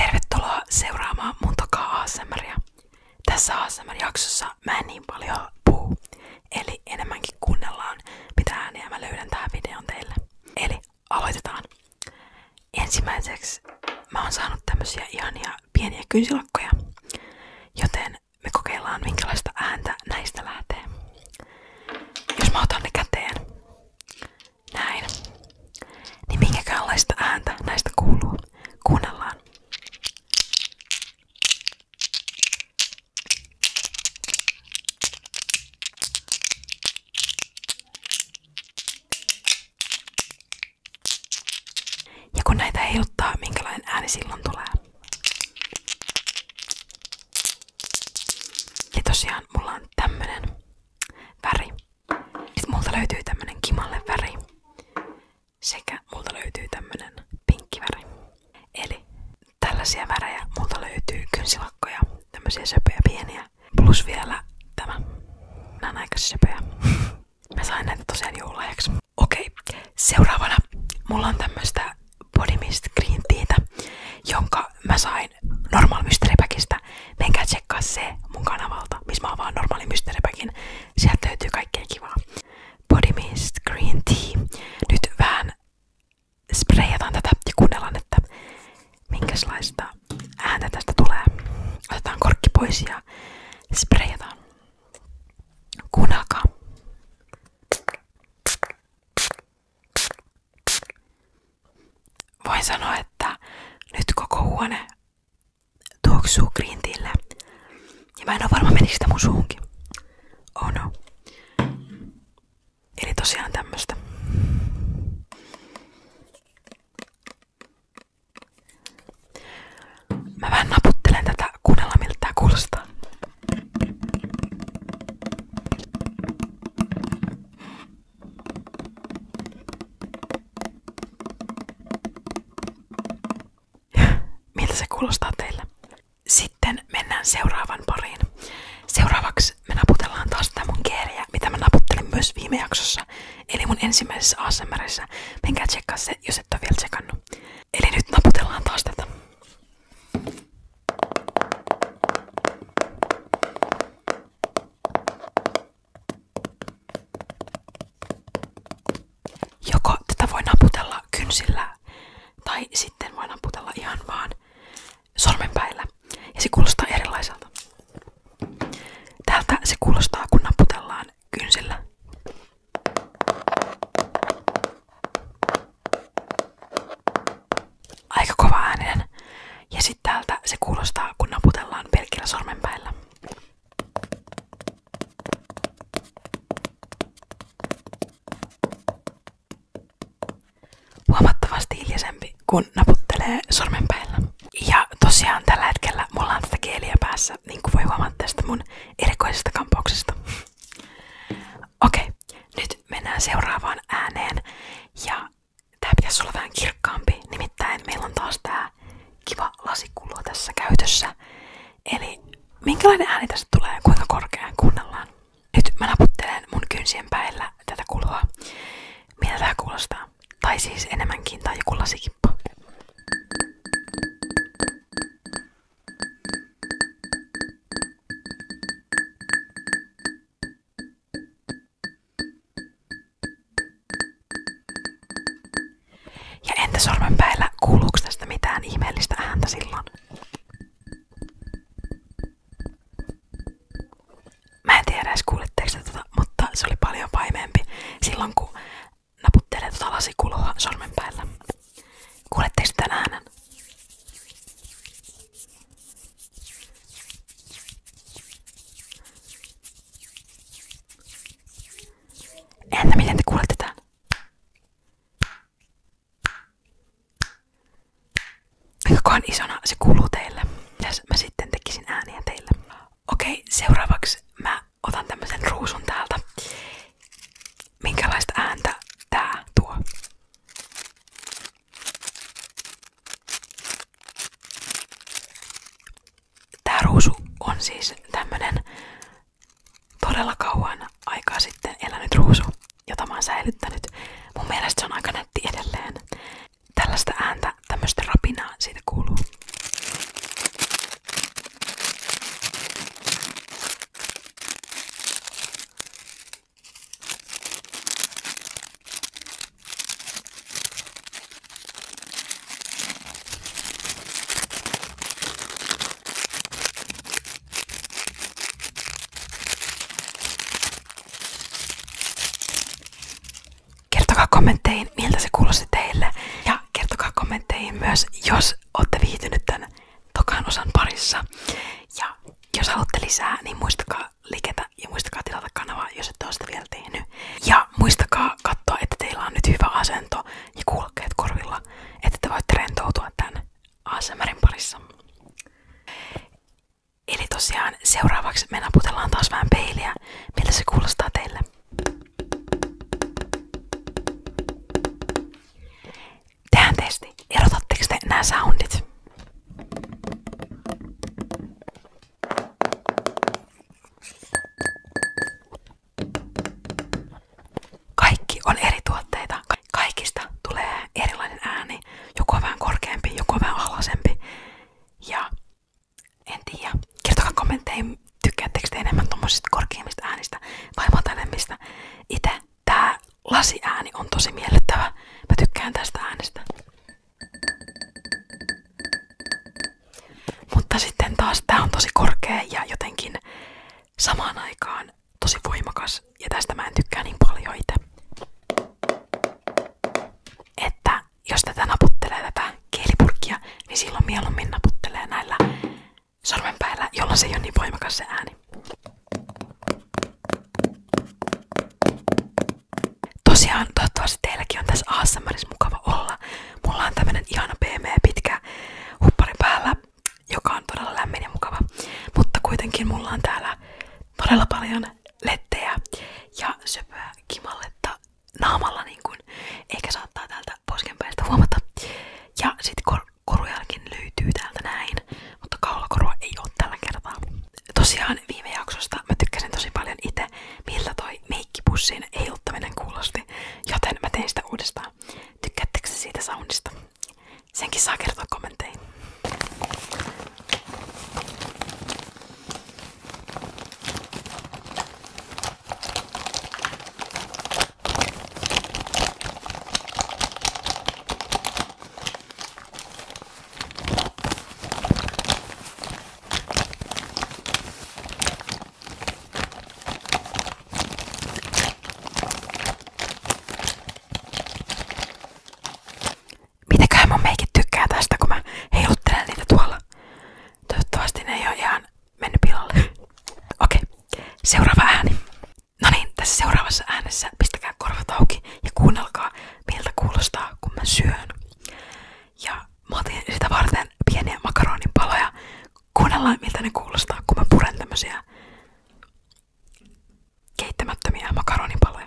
Tervetuloa seuraamaan mun takaa ASMRia. Tässä ASMR-jaksossa mä en niin paljon puhu, eli enemmänkin kuunnellaan mitä ääniä mä löydän tähän videon teille. Eli aloitetaan. Ensimmäiseksi mä oon saanut tämmösiä ihania pieniä kynsilakkoja, joten me kokeillaan minkälaista ääntä näistä lähtee. Jos mä otan ne käteen, näin. Niin minkäkäänlaista ääntä näistä kuuluu? Kuunnellaan. Ja kun näitä heiluttaa, minkälainen ääni silloin tulee. Ja tosiaan mulla on tämmönen väri. Nyt löytyy tämmönen kimalle Sekä multa löytyy tämmönen pinkki väri. Eli tällaisia värejä multa löytyy kynsilakkoja, tämmöisiä söpöjä pieniä. Plus vielä tämä. Nää on Mä sain näitä tosiaan joululahjaksi. Okei, seuraavana mulla on tämmöistä Body Green Teatä, jonka mä sain normaali mysteeripäkistä, menkää tsekkaa se mun kanavalta, missä mä oon vaan normaali mysteeripäkin. Sieltä löytyy kaikkea kivaa. Body Mist Green Tea. Nyt vähän sprayataan tätä ja kuunnellaan, että minkälaista ääntä tästä tulee. Otetaan korkki pois ja sprayataan. Kuunnelkaa. Voin sanoa, että nyt koko huone tuoksuu grintille. Ja mä en ole varma menikö sitä mun suunkin. Oh no. Eli tosiaan tämmöstä. Mä vähän naputtelen tätä kuunnella miltä tää kuulostaa. Miltä se kuulostaa teille? Sitten mennään seuraavan pariin. Seuraavaksi me naputellaan taas tätä mun keeriä, mitä mä naputtelin myös viime jaksossa, eli mun ensimmäisessä ASMRissä. Menkää tsekkaa se, jos et ole vielä tsekannut. Eli nyt naputellaan taas tätä. Joko tätä voi naputella kynsillä tai sitten voi naputella ihan vaan sormenpäillä. Ja se kuulostaa erilaiselta. Tältä se kuulostaa, kun naputellaan kynsillä aika kova ääninen. Ja sitten täältä se kuulostaa, kun naputellaan pelkillä päällä. Huomattavasti hiljaisempi, kun naputtelee päällä. Ja tosiaan tällä hetkellä mulla on tätä kieliä päässä, niin kuin voi huomata tästä mun erikoisesta kampauksesta. Okei, okay. Nyt mennään seuraavaan ääneen ja tää pitäisi olla vähän kirkkaampi, nimittäin meillä on taas tää kiva lasikullo tässä käytössä. Eli minkälainen ääni tästä tulee, kuinka korkeaan kuunnellaan. Nyt mä naputtelen mun kynsien päällä tätä kuloa. Mitä tää kuulostaa? Tai siis enemmänkin tai joku lasikippo. Ja entä sormenpäillä? Kuuluuko tästä mitään ihmeellistä ääntä silloin? Mä en tiedä edes kuulitteko tätä, tota, mutta se oli paljon paimeempi silloin kun naputtelee tuota lasikulhoa sormenpäillä. Kuuletteko tämän äänen? Entä miten te kuulette tämän? Mikäkohan isona se kuuluu teille. Mitäs mä sitten tekisin ääniä teille? Okei, seuraavaksi mä otan tämmöisen ruusun täältä. Minkälaista ääntä tää tuo? Tää on siis tämmönen todella kauan aikaa sitten elänyt ruusu, jota mä oon säilyttänyt. Mun mielestä se on aika nätti edelleen. Tällaista ääntä, tämmöstä rapinaa siitä kuuluu. Kertokaa kommentteihin, miltä se kuulosti teille. Ja kertokaa kommentteihin myös, jos olette viihtynyt tämän Tokaan osan parissa. Ja jos haluatte lisää, niin muistakaa liketä ja muistakaa tilata kanavaa, jos ette ole sitä vielä tehnyt. Ja muistakaa katsoa, että teillä on nyt hyvä asento ja kuulokkeet korvilla, että te voitte rentoutua tämän ASMRin parissa. Eli tosiaan seuraavaksi me naputellaan taas vähän peiliä, miltä se kuulostaa teille. Tehdään testi. Erotatteko te nämä soundit? Kaikki on eri tuotteita. Kaikista tulee erilainen ääni. Joku vähän korkeampi, joku vähän alhaisempi. Ja en tiedä. Kertokaa kommentteihin, tykkäättekö te enemmän tommosista korkeimmista äänistä vai matalemmista itse tää lasiääni on tosi miellyttävä. Mä tykkään tästä äänestä. Mutta sitten taas tää on tosi korkea ja jotenkin samaan aikaan tosi voimakas ja tästä mä en tykkää niin paljon itse. Että jos tätä naputtelee tätä kielipurkkia, niin silloin mieluummin naputtelee näillä sormen päällä, jolla se ei ole niin voimakas se ääni. Tosiaan, toivottavasti teilläkin on tässä ASMRissa mukava olla. Mulla on tämmönen ihana pehmeä pitkä huppari päällä, joka on todella lämmin ja mukava. Mutta kuitenkin mulla on täällä todella paljon lettejä ja söpöä kimalletta naamalla, niin kuin ehkä saattaa täältä poskenpäistä huomata. Ja sitten kor korujälkin löytyy täältä näin, mutta kaulakorua ei ole tällä kertaa. Tosiaan viime jaksosta mä tykkäsin tosi paljon itse, miltä toi meikkipussin heiluttaminen kuulosti, joten mä tein sitä uudestaan. Tykkäättekö siitä soundista? Senkin saa kertoa kommentteihin. Mitäköhän mun meikit tykkää tästä, kun mä heiluttelen niitä tuolla. Toivottavasti ne ei ole ihan mennyt pilalle. Okei, okay. seuraava ääni. No niin, tässä seuraavassa äänessä pistäkää korvat auki ja kuunnelkaa, miltä kuulostaa, kun mä syön. Ja mä otin sitä varten pieniä makaronin paloja. Kuunnellaan, miltä ne kuulostaa, kun mä puren tämmösiä keittämättömiä makaronin paloja.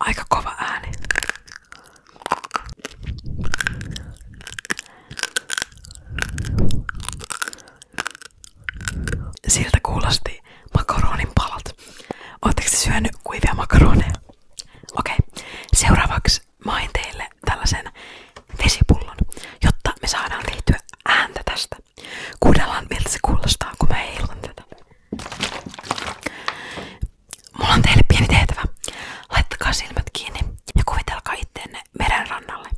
aika kova ääni. Siltä kuulosti makaronin palat. Oletteko syönyt kuivia makaroneja? Okei, seuraavaksi main teille tällaisen jotta me saadaan liittyä ääntä tästä. Kuunnellaan tätä. Mulla on teille pieni tehtävä. Laittakaa silmät kiinni ja kuvitelkaa itteenne meren rannalle.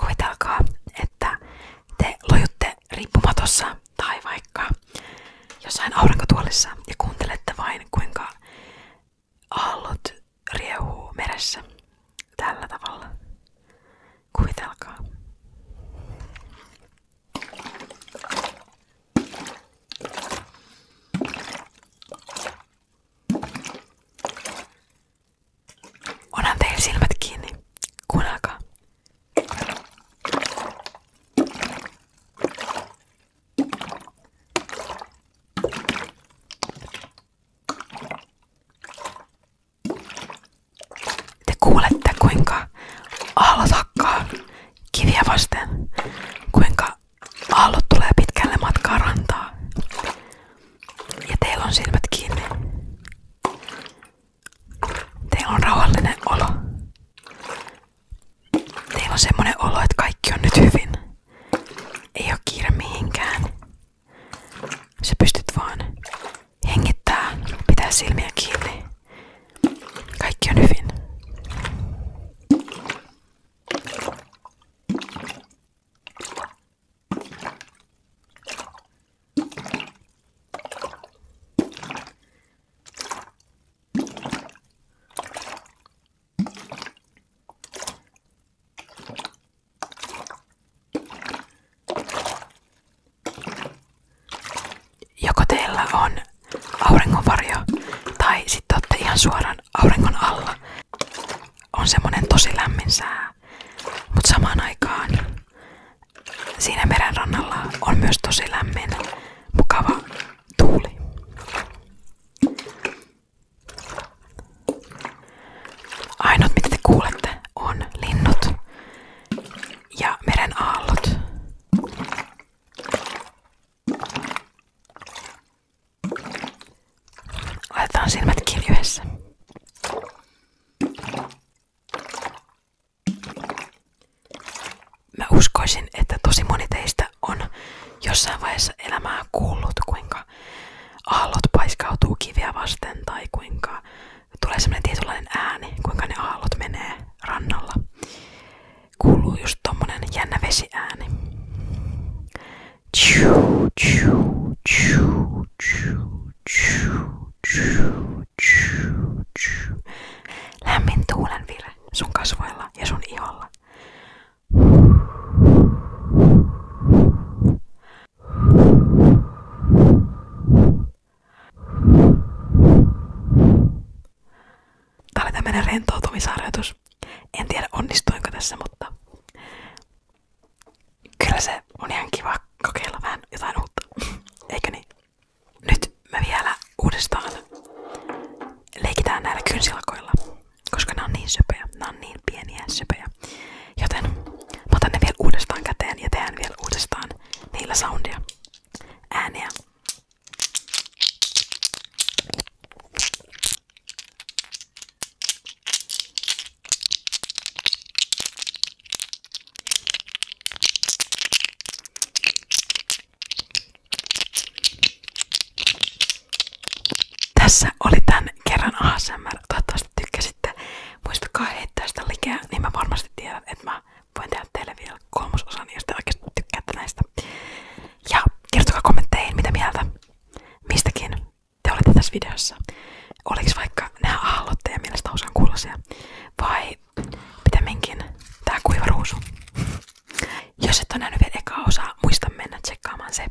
Kuvitelkaa, että te lojutte riippumatossa tai vaikka jossain aurinkotuolissa ja kuuntelette vain kuinka aallot riehuu meressä tällä tavalla. Kuvitelkaa. Onhan teillä silmät kiinni. Kuunnelkaa. Te kuulette kuinka aallot hakkaa kiviä vasten, kuinka aallot tulee pitkälle matkaa rantaa. Ja teillä on silmät kiinni. Teillä on rauhallinen olo. Teillä on semmonen olo, että kaikki on nyt hyvin. Ei ole kiire mihinkään. Sä pystyt vaan Hengittää, pitää silmiä kiinni. Kaikki on hyvin. Joko teillä on auringonvarjo tai sitten olette ihan suoraan auringon alla. On semmonen tosi lämmin sää. Mutta samaan aikaan siinä meren rannalla on myös tosi lämmin, mukava tuuli. Ainut mitä te on linnut ja meren aallot. Laitetaan silmät kiinni yhdessä. Mä uskoisin, että tosi moni teistä on jossain vaiheessa elämää kuullut, kuinka aallot paiskautuu kiviä vasten tai kuinka tulee semmoinen tietynlainen ääni, kuinka ne aallot menee rannalla. Kuuluu just tommonen jännä vesiääni. Lämmin tuulen vire sun kasvoilla ja sun iholla tämä oli tämmönen rentoutumisharjoitus. En tiedä onnistuinko tässä, mutta kyllä se on ihan kiva kokeilla vähän jotain uutta. Eikö niin? Nyt me vielä uudestaan leikitään näillä kynsilkoilla, koska nämä on niin söpöjä. nämä on niin pieniä söpöjä. Joten mä ne vielä uudestaan käteen ja tehdään vielä uudestaan niillä soundia, ääniä. Tässä oli tän kerran ASMR. Toivottavasti tykkäsit sitten muistakaa heittää sitä likeä, niin mä varmasti tiedän, että mä voin tehdä teille vielä kolmososan, jos te oikeasti tykkäätte näistä. Ja kertokaa kommentteihin, mitä mieltä mistäkin te olette tässä videossa. Oliko vaikka nämä aallot teidän mielestä hauskan kuulosia? Vai pitemminkin tää kuiva ruusu? Jos et ole nähnyt vielä ekaa osaa, muista mennä tsekkaamaan se.